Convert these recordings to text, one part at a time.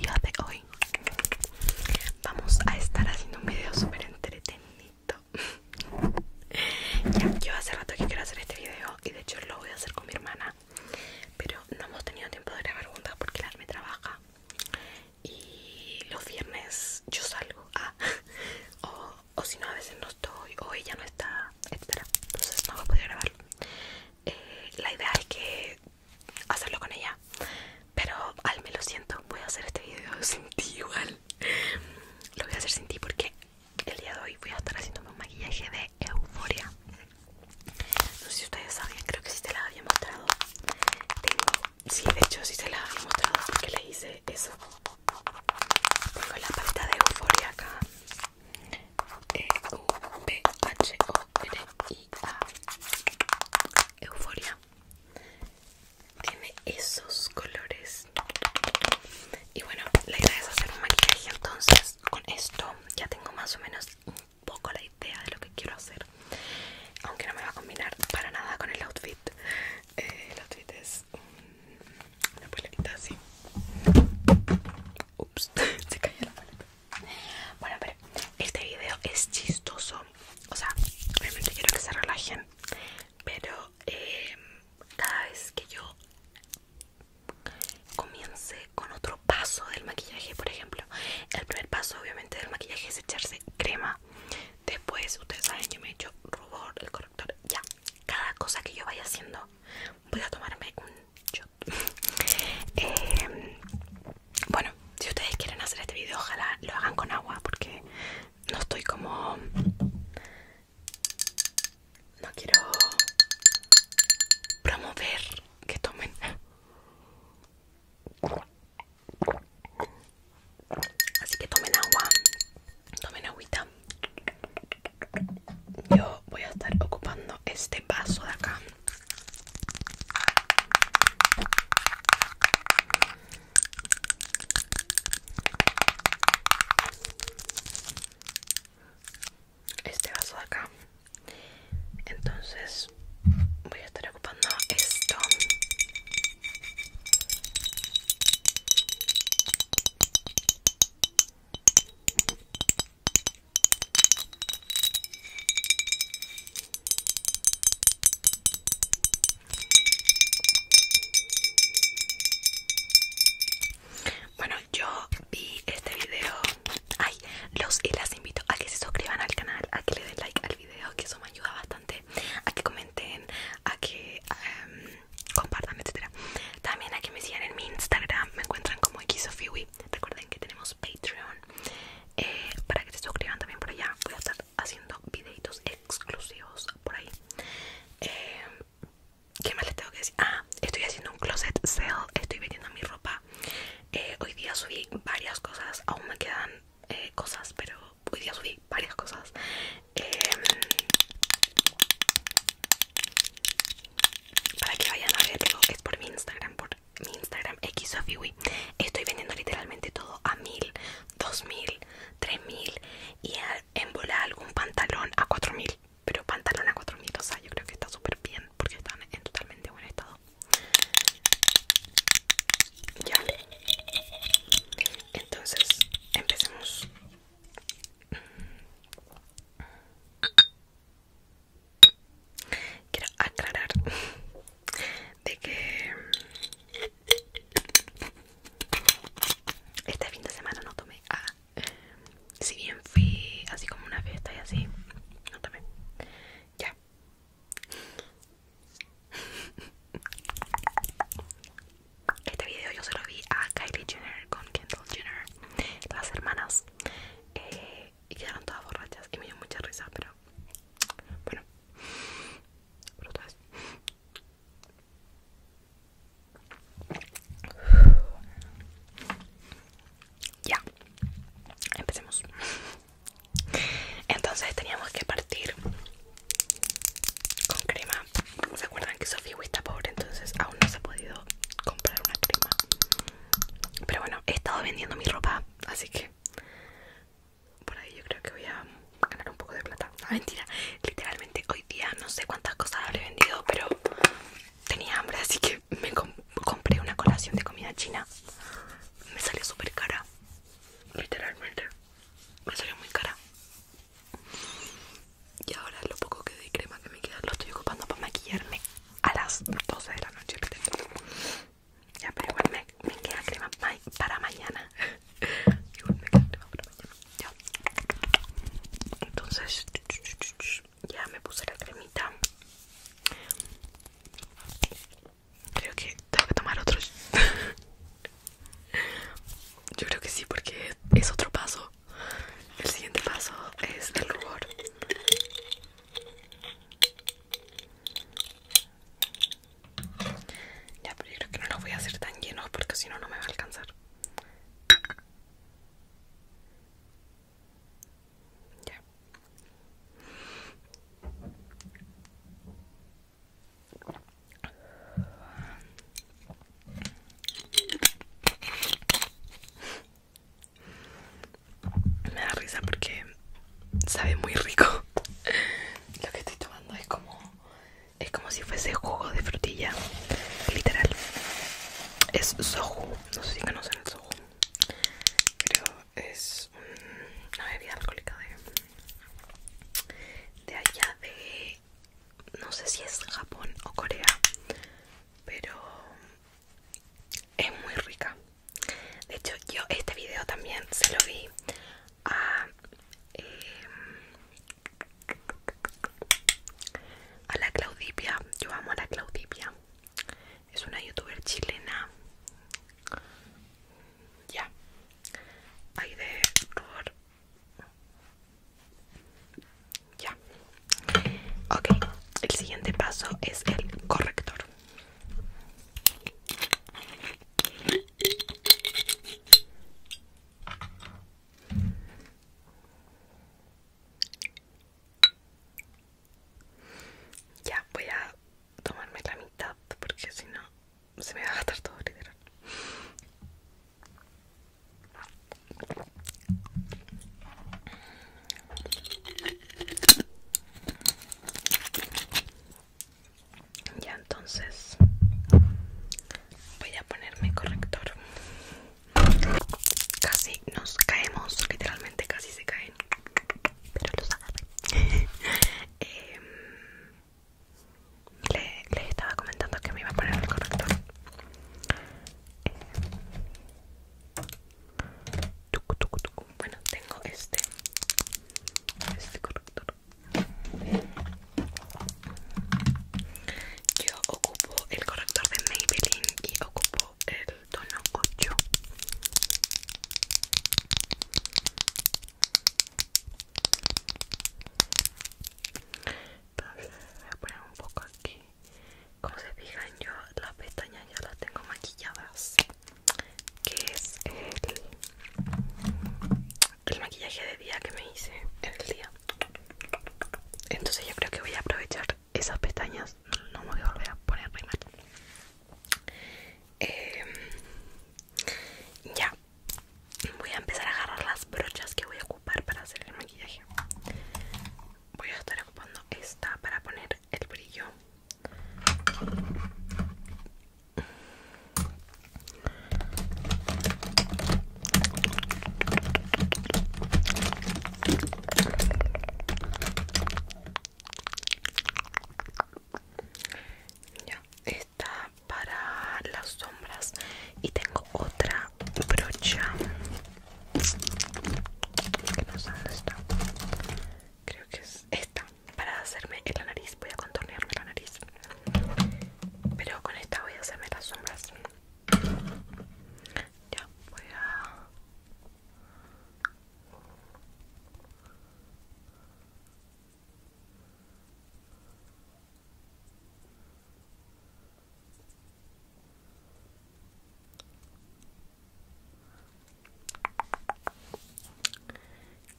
día de hoy vamos a estar haciendo un video súper entretenido. ya, yo hace rato que quiero hacer este video y de hecho lo voy a hacer con mi hermana, pero no hemos tenido tiempo de grabar juntas porque la me trabaja y los viernes yo salgo ah, o, si no a veces no estoy o ella no está etcétera entonces no voy a poder grabar eh, la idea es que hacerlo con ella pero al menos lo siento voy a hacer este video sin ti igual lo voy a hacer sin ti porque el día de hoy voy a estar haciéndome un maquillaje de euforia no sé si ustedes sabían creo que sí te la había mostrado tengo sí de hecho sí se la había mostrado porque le hice eso Con la paleta de euforia acá e u p h o r a Euforia. Tiene esos colores. Y bueno, la idea es hacer un maquillaje. Entonces, con esto ya tengo más o menos un poco la idea de lo que quiero hacer. Aunque no me va a combinar para nada con el outfit. Eh, el outfit es una polerita así. Ups, se cayó la paleta. Bueno, pero este video es chistoso. O sea, realmente quiero que se relajen. Pero em, cada vez que yo comience con otro paso del maquillaje, por ejemplo, el primer paso obviamente del maquillaje es echarse crema. Después, ustedes saben, yo me he hecho rubor, el corrector, ya. Cada cosa que yo vaya haciendo, voy a tomarme un eh, bueno si ustedes quieren hacer este video ojalá lo hagan con agua porque no estoy como no quiero promover que tomen así que tomen agua tomen agüita yo voy a estar ocupando este vaso de acá este vaso de acá entonces voy a estar ocupando esto bueno, yo vi este video. Ay, los y las invito a que se suscriban al canal, a que le den like al video, que eso me ayuda bastante, a que comenten, a que em, compartan, etcétera. También a que me sigan en mi Instagram, me encuentran como xofiwi Recuerden que tenemos Patreon eh, para que se suscriban también por allá. Voy a estar haciendo videitos exclusivos por ahí. Eh, ¿Qué más les tengo que decir? Ah, estoy haciendo un closet sale, estoy vendiendo mi ropa. Eh, hoy día subí varias cosas, aún me quedan cosas, pero hoy día subí varias cosas. Em, para que vayan a verlo, es por mi Instagram, por mi Instagram xofiwi estoy vendiendo literalmente todo a mil, dos mil, tres mil y en bola algún pantalón a cuatro mil, pero pantalón a cuatro mil, o sea, yo creo que está súper bien porque están en totalmente buen estado. Ya, entonces empecemos. Quiero aclarar de que este fin de semana no tomé. a ah, si bien fui así como una fiesta y así, no tomé. Ya. Este video yo se lo vi a Kylie Jenner con Kendall Jenner, las hermanas. Eh, y quedaron todas borrachas y me dio mucha risa, pero bueno, Ya, empecemos. Entonces teníamos que partir con crema. ¿Se acuerdan que Sofía está pobre? Entonces aún no se ha podido comprar una crema pero bueno, he estado vendiendo mi ropa, así que por ahí yo creo que voy a ganar un poco de plata. No, ah, mentira, literalmente hoy día no sé cuántas cosas habré vendido, pero tenía hambre, así que me compré una colación de comida china. Me salió súper cara, literalmente. Me salió muy cara. Y ahora lo poco que de crema que me queda lo estoy ocupando para maquillarme a las 12 de la noche. Ya, pero igual me, queda crema para mañana. Igual me queda crema para mañana. Ya. Entonces, ya me puse la cremita. Creo que tengo que tomar otro. Yo creo que sí, porque es otro paso. El siguiente paso es el rubor. Ya, pero yo creo que no los voy a hacer tan llenos porque si no, no me va a alcanzar. Me da risa porque sabe muy rico. Lo que estoy tomando es como es como si fuese jugo de frutilla, literal. Es soju, no sé si conocen el soju. pero es una bebida alcohólica de de allá de no sé si es Japón o Corea, pero es muy rica. De hecho, yo este video también se lo vi a, em, a la Claudipia. Yo amo a la Claudipia. Es una youtuber chilena. Ya. Hay de rubor. Ya. Ok, el siguiente paso es el corrector. Ya voy a tomarme la mitad porque si no se me va a gastar todo literal. Ya entonces voy a ponerme corrector. Casi nos caemos, literalmente casi se caen, pero los em, les estaba comentando que me iba a poner el corrector. Tucu, tucu, tucu. Bueno, tengo este Este corrector Yo ocupo el corrector de Maybelline Y ocupo el tono 8 Entonces voy a poner un poco aquí como se fijan yo las pestañas ya las tengo maquilladas que es el, maquillaje de día que me hice en el día entonces yo creo que voy a aprovechar esas pestañas no me voy a volver a poner em, ya voy a empezar a agarrar las brochas que voy a ocupar para hacer el maquillaje voy a estar ocupando esta para poner el brillo ya está para las sombras y tengo otra brocha creo que es esta para hacerme la nariz voy a contornearme la nariz pero con esta voy a hacerme las sombras ya voy a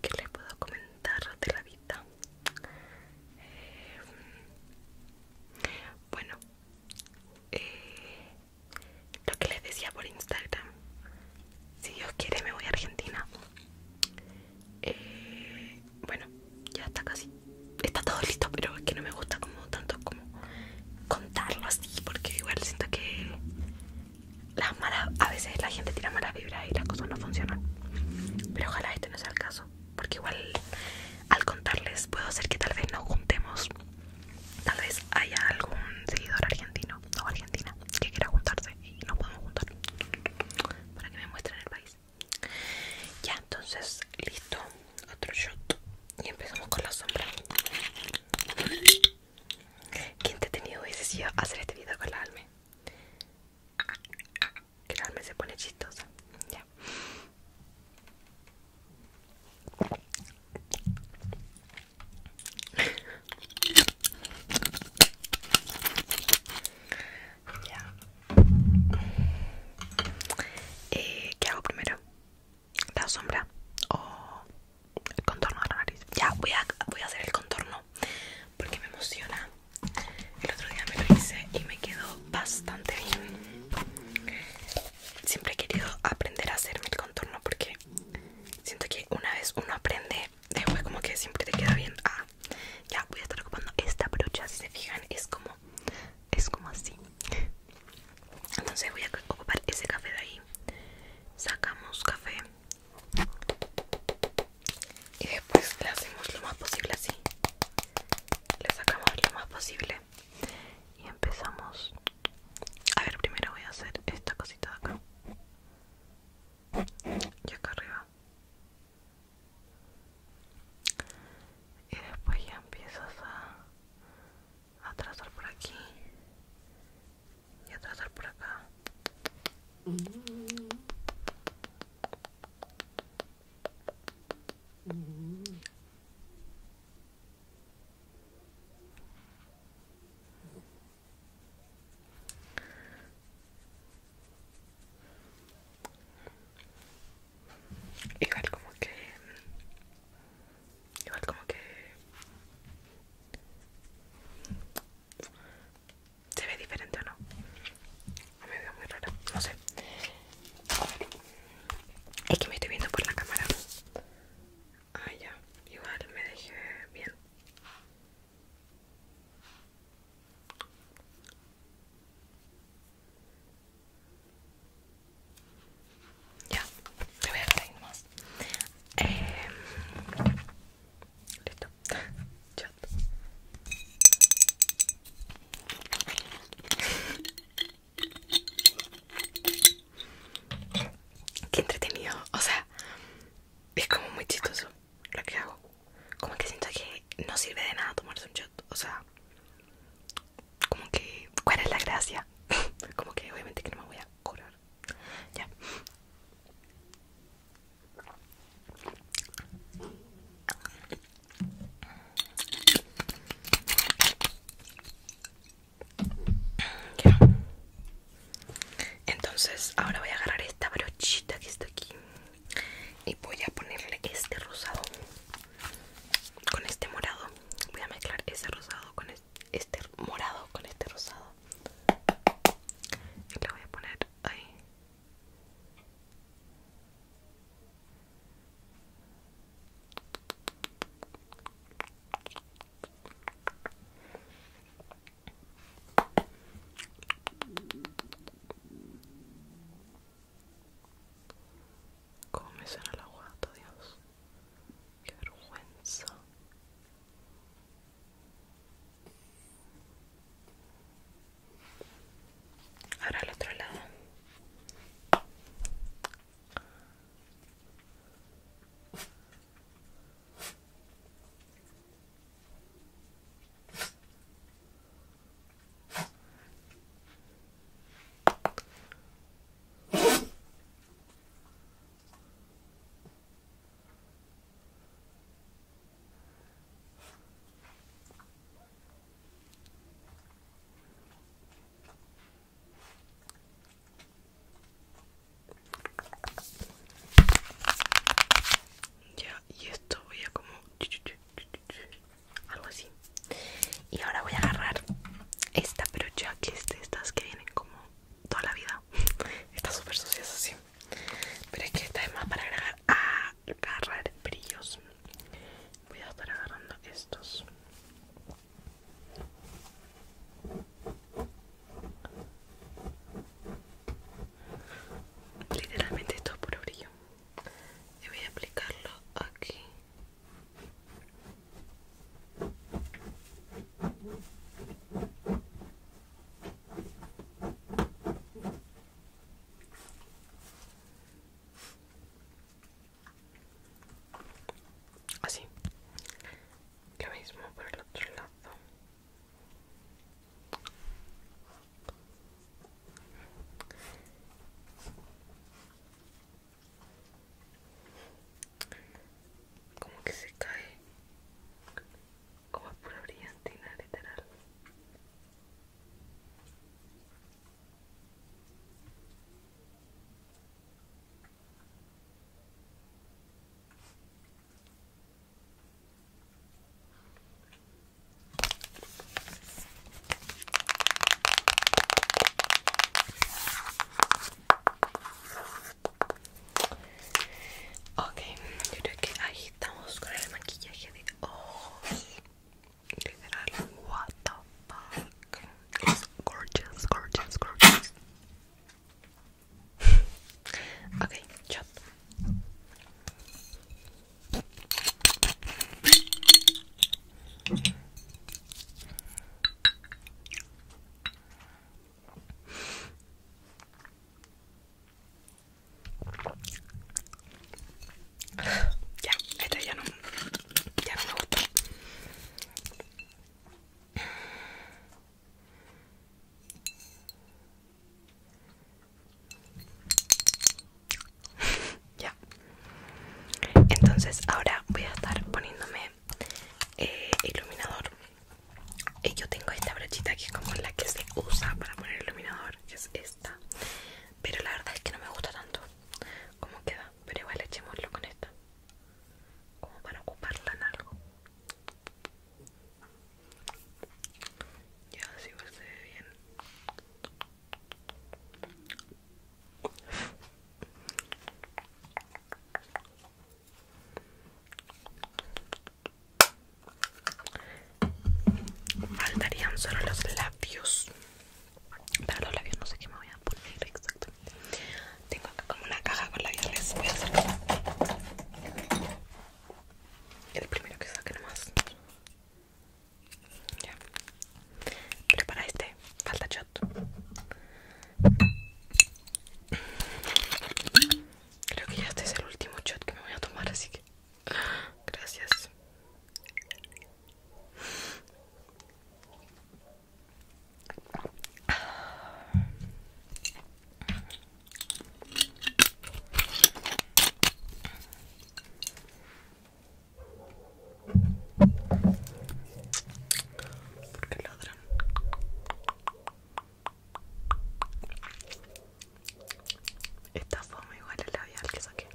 ¿Qué les puedo comentar de la vida? Eh, bueno, eh, lo que les decía por Instagram. Si Dios quiere me voy a Argentina. Eh, bueno, ya está casi. Está todo listo, pero es que no me gusta como tanto como contarlo así, porque igual siento que la mala, a veces la gente tira mala vibra y las cosas no funcionan. Pero ojalá este no sea el caso, porque igual al contarles puedo hacer que tal vez nos juntemos. Tal vez haya algún seguidor argentino o argentina que quiera juntarse y nos podemos juntar para que me muestren el país. Ya, entonces, listo otro shot y empezamos con la sombra. te ha tenido hubiese sido hacer este video con la Alme. Que la Alme se pone chistosa. Ya. Eh, ¿Qué hago primero? la sombra o el contorno de la nariz. Ya voy a, voy a hacer el contorno porque me emociona. El otro día me lo hice y me quedó bastante bien. Siempre he querido aprender a hacerme el contorno porque siento que una vez uno aprende, después como que siempre te queda bien. Ah, ya voy a estar ocupando esta brocha, si se fijan, es como es como así entonces voy a ocupar ese café de ahí sacamos café y después le hacemos lo más posible así le sacamos lo más posible y empezamos a ver primero voy a hacer esta cosita de acá y acá arriba y después ya empiezas a Atrasar por aquí y atrasar por acá Igual como que Igual como que se ve diferente o no. me veo muy rara, no sé. Es que me estoy viendo por la cámara. Ah, ya. Igual me dejé bien. Ya, te voy a reír más. Eh, listo. Chat. Qué entretenido, o sea, es como muy chistoso lo que hago. Como que siento que no sirve de nada tomarse un chat. o sea, como que cuál es la gracia como que obviamente que no me voy a curar ya entonces ahora voy a agarrar esta brochita que está aquí y voy a ponerle este rosado con este morado voy a mezclar ese rosado con este este morado con este rosado y voy a poner ahí como me suena el guata, Dios Qué vergüenza. Ahora al otro lado. Ya, y esto voy a como algo así y ahora voy a agarrar esta, pero ya que es estas que vienen como toda la vida. está súper sucias así. Pero es que esta es más para agarrar brillos. Voy a estar agarrando estos. Literalmente esto es puro brillo. Y voy a aplicarlo aquí. Así. Lo mismo por el otro lado como que se cae como pura brillantina literal Oke, jadi kita que ahí estamos con el maquillaje de ojos. Literal, what the fuck. gorgeous, gorgeous, gorgeous. Oke, shot. Ya, esta ya no, ya no me gusta. Ya. Entonces ahora voy a estar poniéndome eh, iluminador y yo tengo esta brochita que es como la que se usa para poner iluminador que es esta pero la verdad es que no me gusta tanto como queda pero igual echémoslo con esta como para ocuparla en algo ya así se ve bien Faltarían solo los labios. Para los labios no sé qué me voy a poner exactamente. Tengo acá como una caja con labiales voy a hacer el primero que saque nomás. Ya. Prepara este, falta shot. Creo que ya este es el último shot que me voy a tomar, así que gracias porque ladran? Esta fue igual el labial que saqué.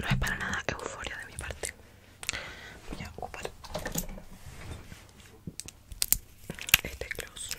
No es para nada euforia de mi parte. Voy a ocupar este close.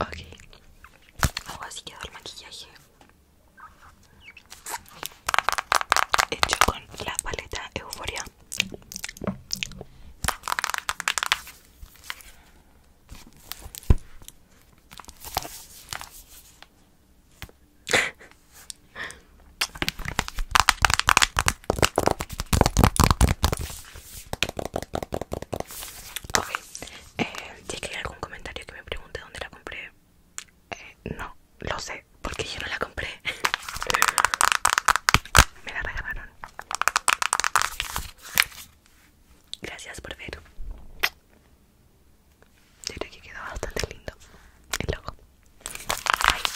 ok ahora sí quedó el maquillaje hecho con la paleta euforia Okay. Eh, si hay algún comentario que me pregunte dónde la compré eh, no, lo sé, porque yo no la compré me la regalaron gracias por ver yo creo que quedó bastante lindo el logo Bye.